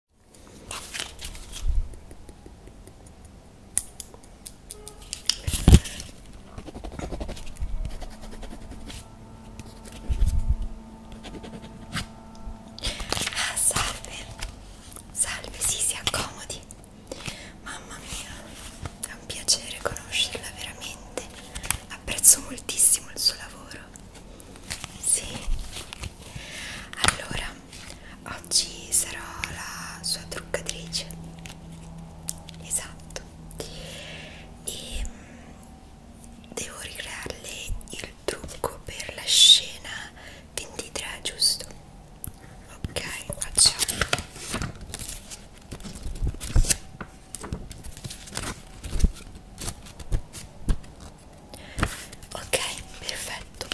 Ah, salve, salve, sì, si accomodi. Mamma mia, è un piacere conoscerla veramente. Apprezzo moltissimo il suo lavoro. Sì allora oggi sarò la sua truccatrice esatto e mm, devo ricrearle il trucco per la scena 23 giusto ok facciamo ok perfetto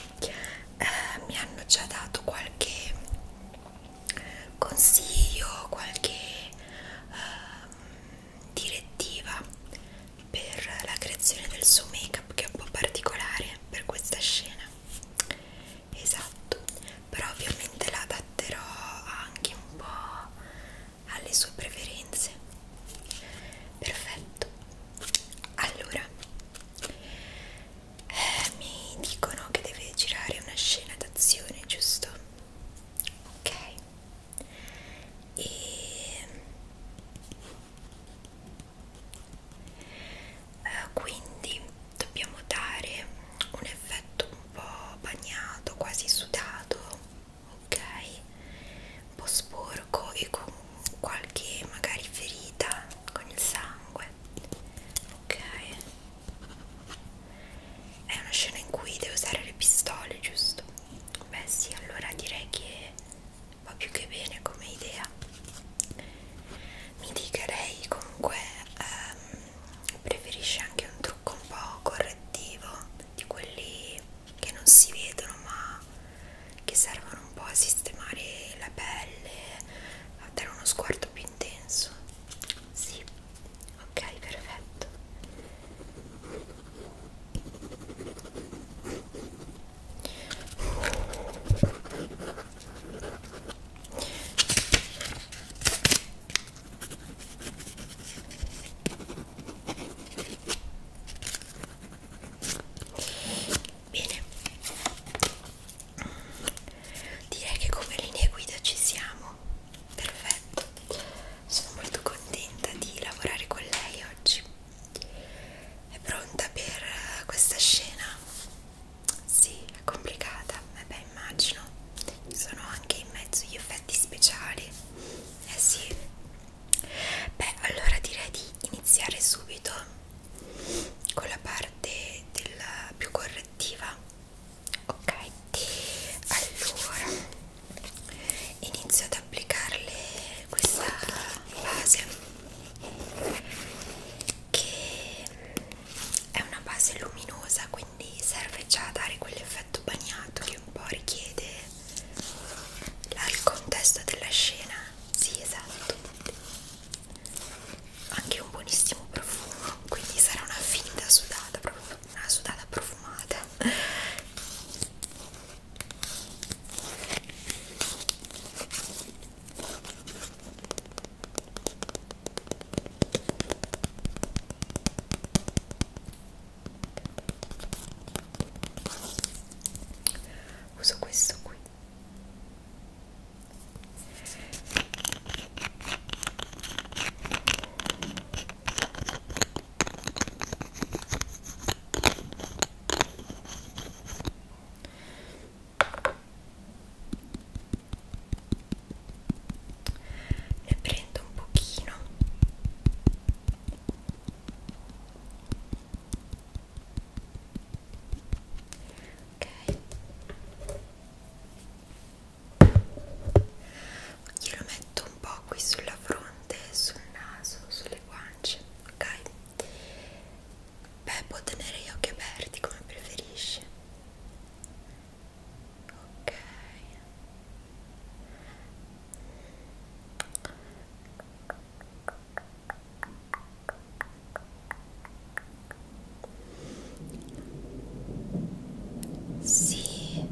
eh, mi hanno già dato qualche consiglio qualche eh, direttiva per la creazione del suo make up che è un po' particolare per questa scena esatto però ovviamente la adatterò anche un po' alle sue preferenze perfetto allora eh, mi dicono che deve girare una scena d'azione giusto ok e eh, quindi dobbiamo dare un effetto un po' bagnato quasi sudato ok un po' sporco e con qualche magari ferita con il sangue ok è una scena in cui devo usare le pistole giusto beh sì allora direi che va più che bene come idea mi dica lei comunque ehm, preferisce anche un trucco un po' correttivo di quelli che non si vedono ma che servono un po' a sistemare la pelle, a dare uno sguardo più intenso. Sì, ok, perfetto bene direi che come linea guida ci siamo perfetto sono molto contenta di lavorare con lei oggi è pronta per questa scena? Sì, è complicata, eh beh immagino. Sono anche in mezzo gli effetti speciali. Eh sì, Beh, allora direi di iniziare subito con la parte della più correttiva. Ok, allora inizio ad applicarle questa base che è una base luminosa, quindi serve già a dare quell'effetto bagnato che un po' richiede il contesto della scena sì, esatto. Anche un buonissimo profumo, quindi sarà una finta sudata, proprio una sudata profumata uso questo qui ne prendo un pochino ok glielo metto un po' qui sulla fronte sul naso sulle guance ok beh può tenere gli occhi aperti come preferisce ok sì.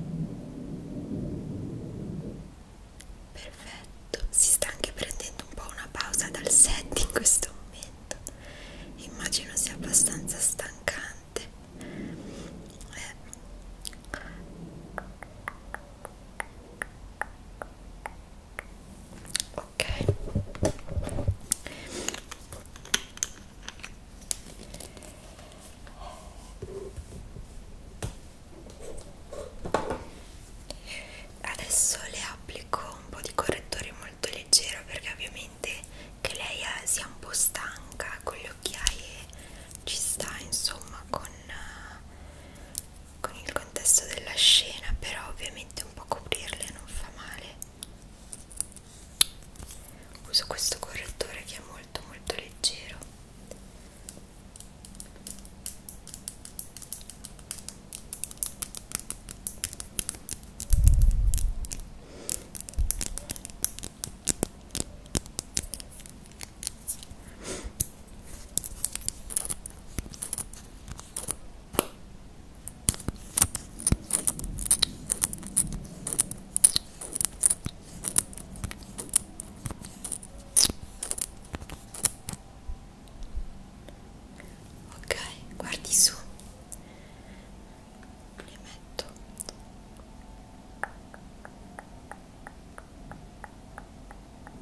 Perfetto. Si sta anche prendendo un po' una pausa dal set in questo momento. Immagino sia abbastanza stancante. Eh ok adesso le applico un po' di correttore molto leggero perché ovviamente che lei eh, sia un po' stanca con le occhiaie ci sta insomma con eh, con il contesto della scena però ovviamente un po' coprirle non fa male uso questo correttore che è molto molto leggero Ok, guardi su. Li metto.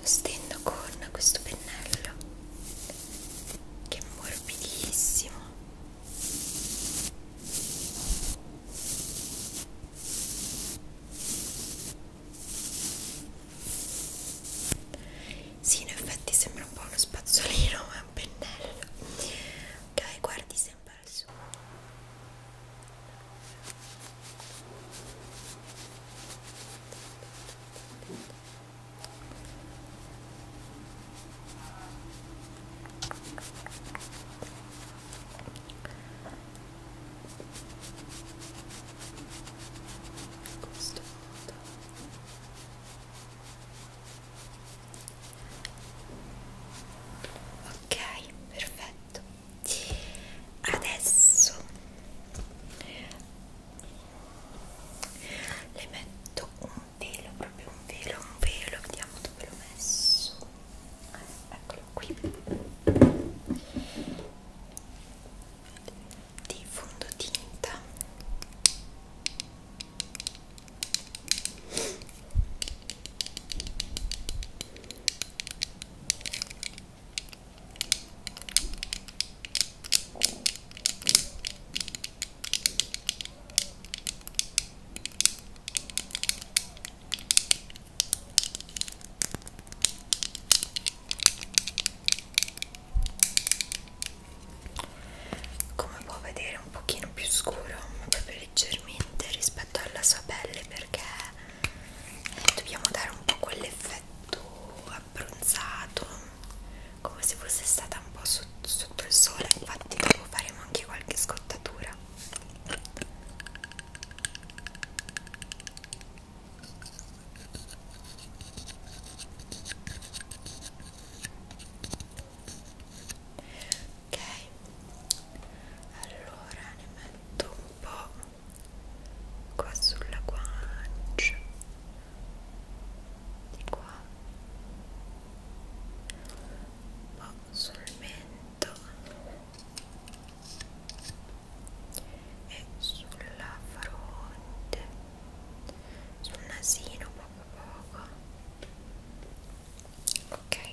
lo stendo con questo pennello che è morbidissimo sì in effetti sembra un po' uno spazzolino ma è un pennello ok guardi sempre al suo questo modo ok perfetto adesso le metto un velo proprio un velo un velo vediamo dove l'ho messo eccolo qui di fondotinta come può vedere un pochino più scuro ma proprio leggermente rispetto alla sua pelle perché eh, dobbiamo dare un po' quell'effetto effetto abbronzato come se fosse stata un po' sotto, sotto il sole infatti dopo faremo anche qualche scottatura ok allora ne metto un po' qua sulla guancia di qua un boh, po' sul mento e sulla fronte sul nasino poco poco ok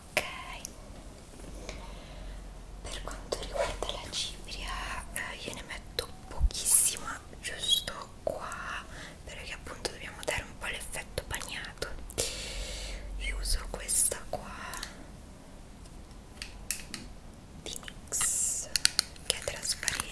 ok per quanto riguarda la cipria eh, io ne metto pochissima giusto qua perché appunto dobbiamo dare un po' l'effetto bagnato io uso questa qua di Mix che è trasparente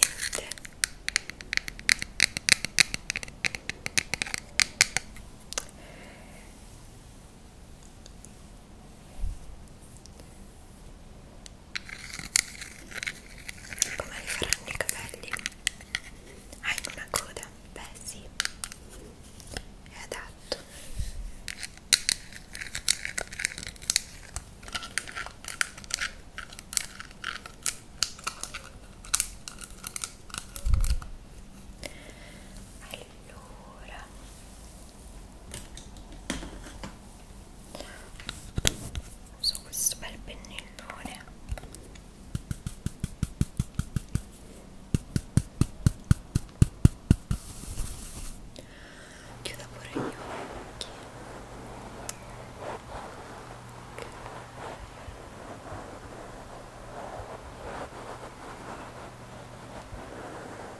come li faranno i capelli? Hai ah, una coda? Beh sì, è adatto. Allora, uso questo bel pennellone chiudo pure gli occhi ok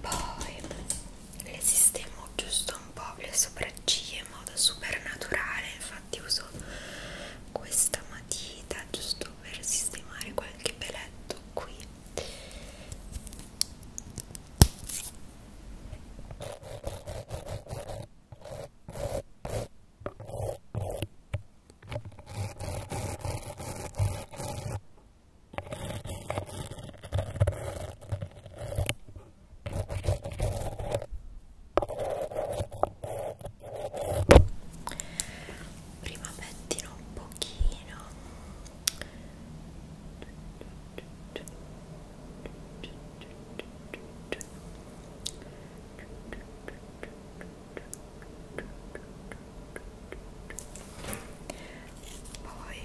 poi le sistemo giusto un po' le sopracciglia in modo super naturale infatti uso questa matita giusto per sistemare qualche peletto qui prima pettino un pochino poi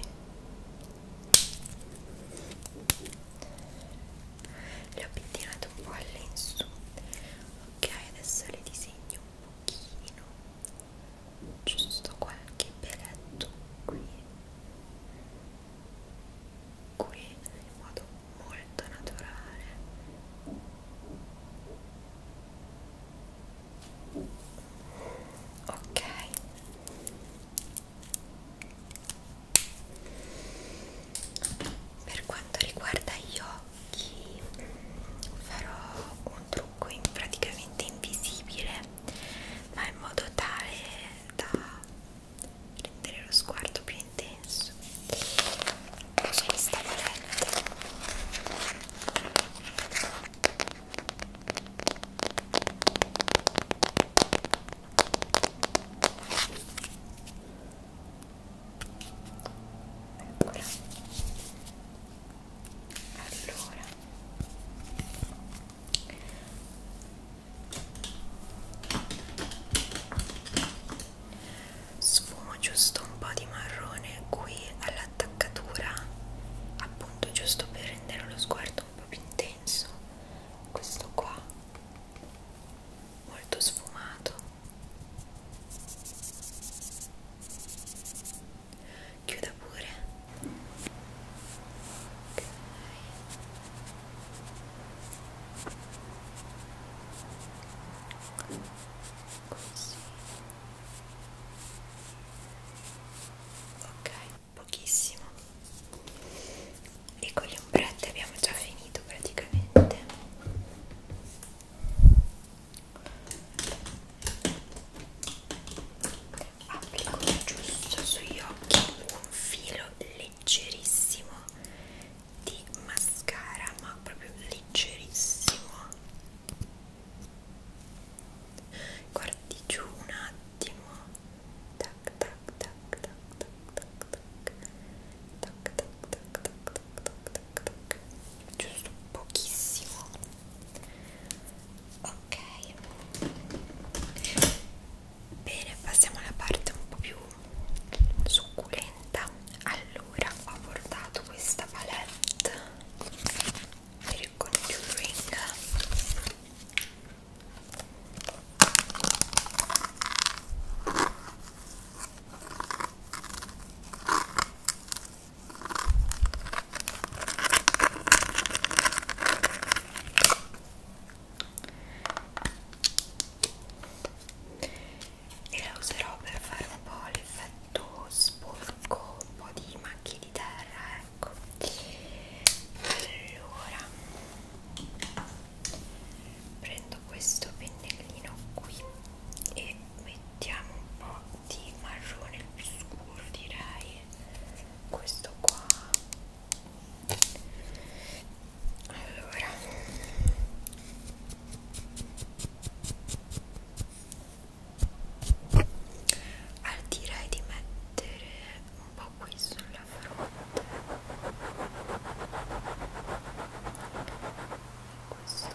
le ho pettinate un po' all'insù ok adesso le disegno un pochino giusto qualche peletto qui qui in modo molto naturale ok per quanto riguarda gli occhi farò un trucco in praticamente invisibile ma in modo tale da rendere lo sguardo più intenso uso questa palette Eccola. Allora. Sfumo giusto un po' di marrone qui all'attaccatura appunto giusto per rendere lo sguardo un po' più intenso questo qua molto sfumato chiuda pure okay. così ok pochissimo e con le ombrette abbiamo già finito praticamente applico giusto sugli occhi un filo leggerissimo di mascara ma proprio leggerissimo guardi giù un attimo tac tac tac tac tac tac tac tac tac tac tac tac tac tac giusto pochissimo ok bene passiamo alla parte un po' più succulenta allora ho portato questa palette il conjuring e la userò per fare un po' l'effetto tutto sporco, un po' di macchie di terra, ecco. Allora, prendo questo pennellino qui e mettiamo un po' di marrone più scuro, direi. Questo qua. Allora allora, direi di mettere un po' qui sulla fronte questo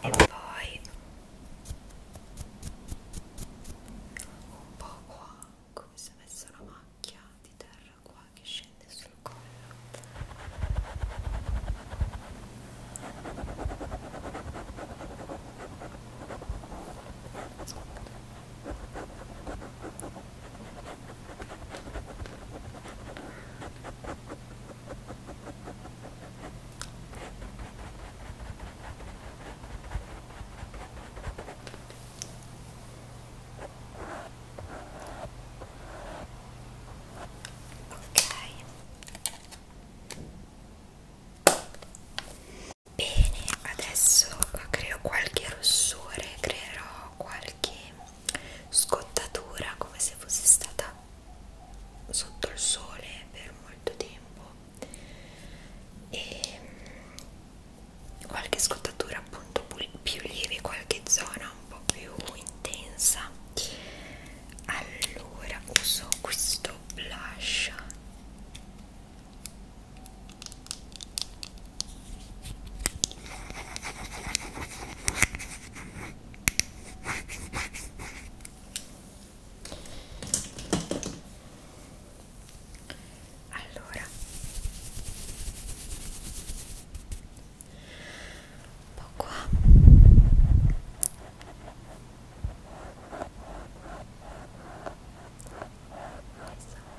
e poi un po' qua come se avesse una macchia di terra qua che scende sul collo Ok. Bene, adesso creo qualche rossore, creerò qualche scottatura come se fosse stata sotto il sole per molto tempo e mm, qualche scottatura appunto più lieve, qualche zona un po' più intensa allora uso questo blush allora un po' qua esatto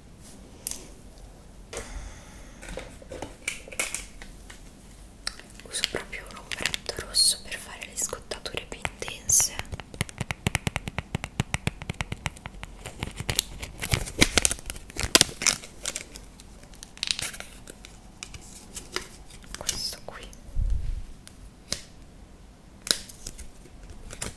uso proprio un ombretto rosso per fare le scottature più intense questo qui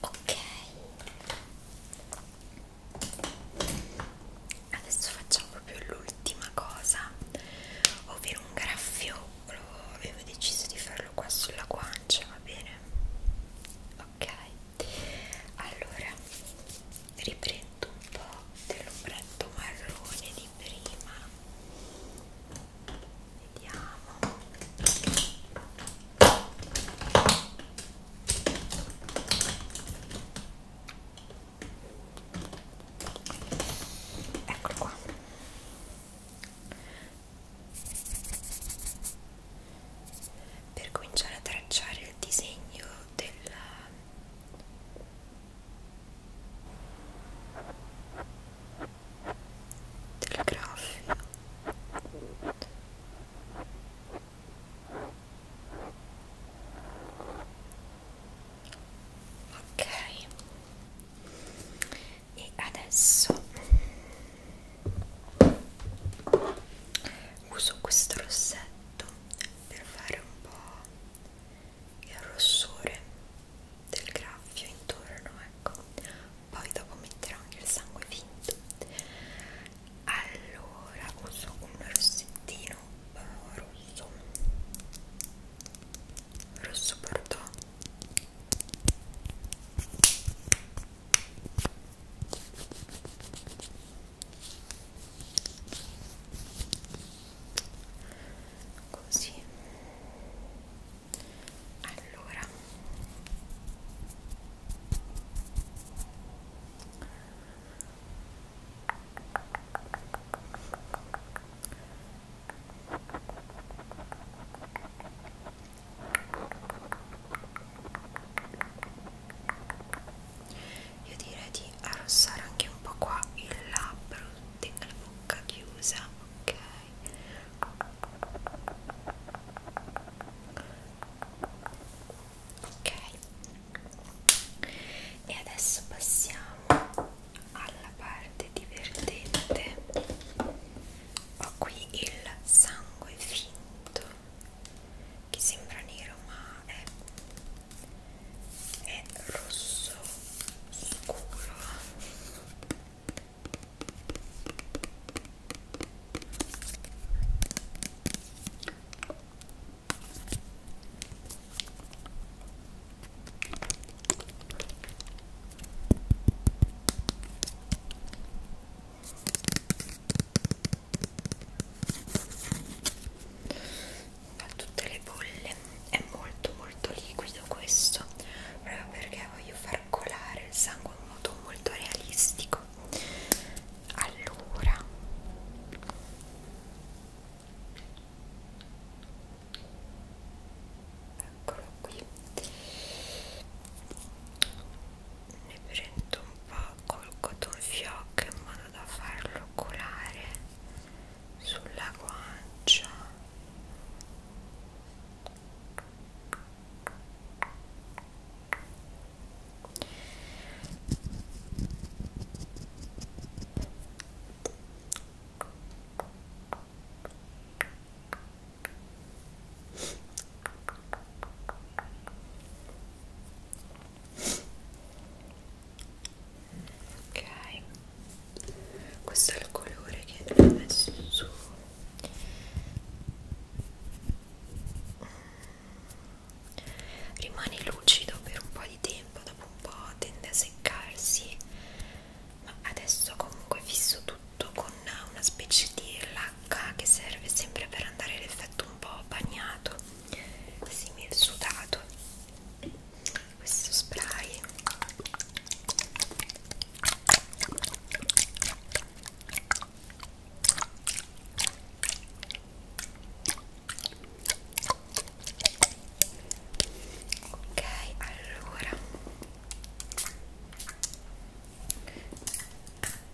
Ok, adesso facciamo proprio l'ultima cosa, ovvero un graffio. Avevo deciso di farlo qua sulla guancia, va bene? Ok allora riprendo un po' dell'ombretto marrone di prima vediamo eccolo qua per cominciare a tracciare il disegno del del graffio ok e adesso uso questo rossetto per fare un po' il rossore del graffio intorno ecco poi dopo metterò anche il sangue finto allora uso un rossettino eh, rosso rosso bordeaux così allora io direi di arrossare anche un po' qua il labbro tenga la bocca chiusa ok ok e adesso passiamo alla parte divertente ho qui il sangue finto violetto che sembra nero ma è, è rosso scuro fa tutte le bolle è molto molto liquido questo proprio perché voglio far colare il sangue in modo molto realistico allora eccolo qui ne prendo pompa col cotton fioc in modo da farlo colare sulla guancia ok questo è il colore che ho messo su rimane lucido per un po' di tempo dopo un po' tende a seccarsi ma adesso comunque fisso tutto con una specie di pacca che serve sempre per andare l'effetto un po' bagnato simil sudato questo spray ok allora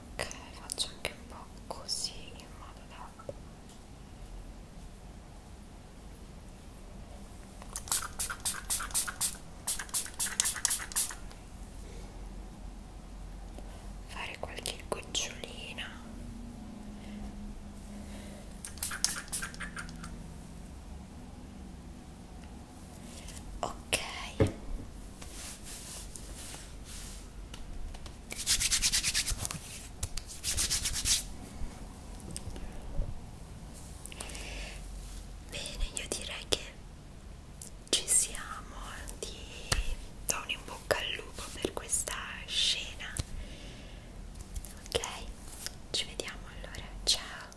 ok faccio anche un po' così in modo da fare qualche gocciolina ok Bene, io direi che ci siamo, ti do un in bocca al lupo per questa scena. Ok, ci vediamo allora, ciao.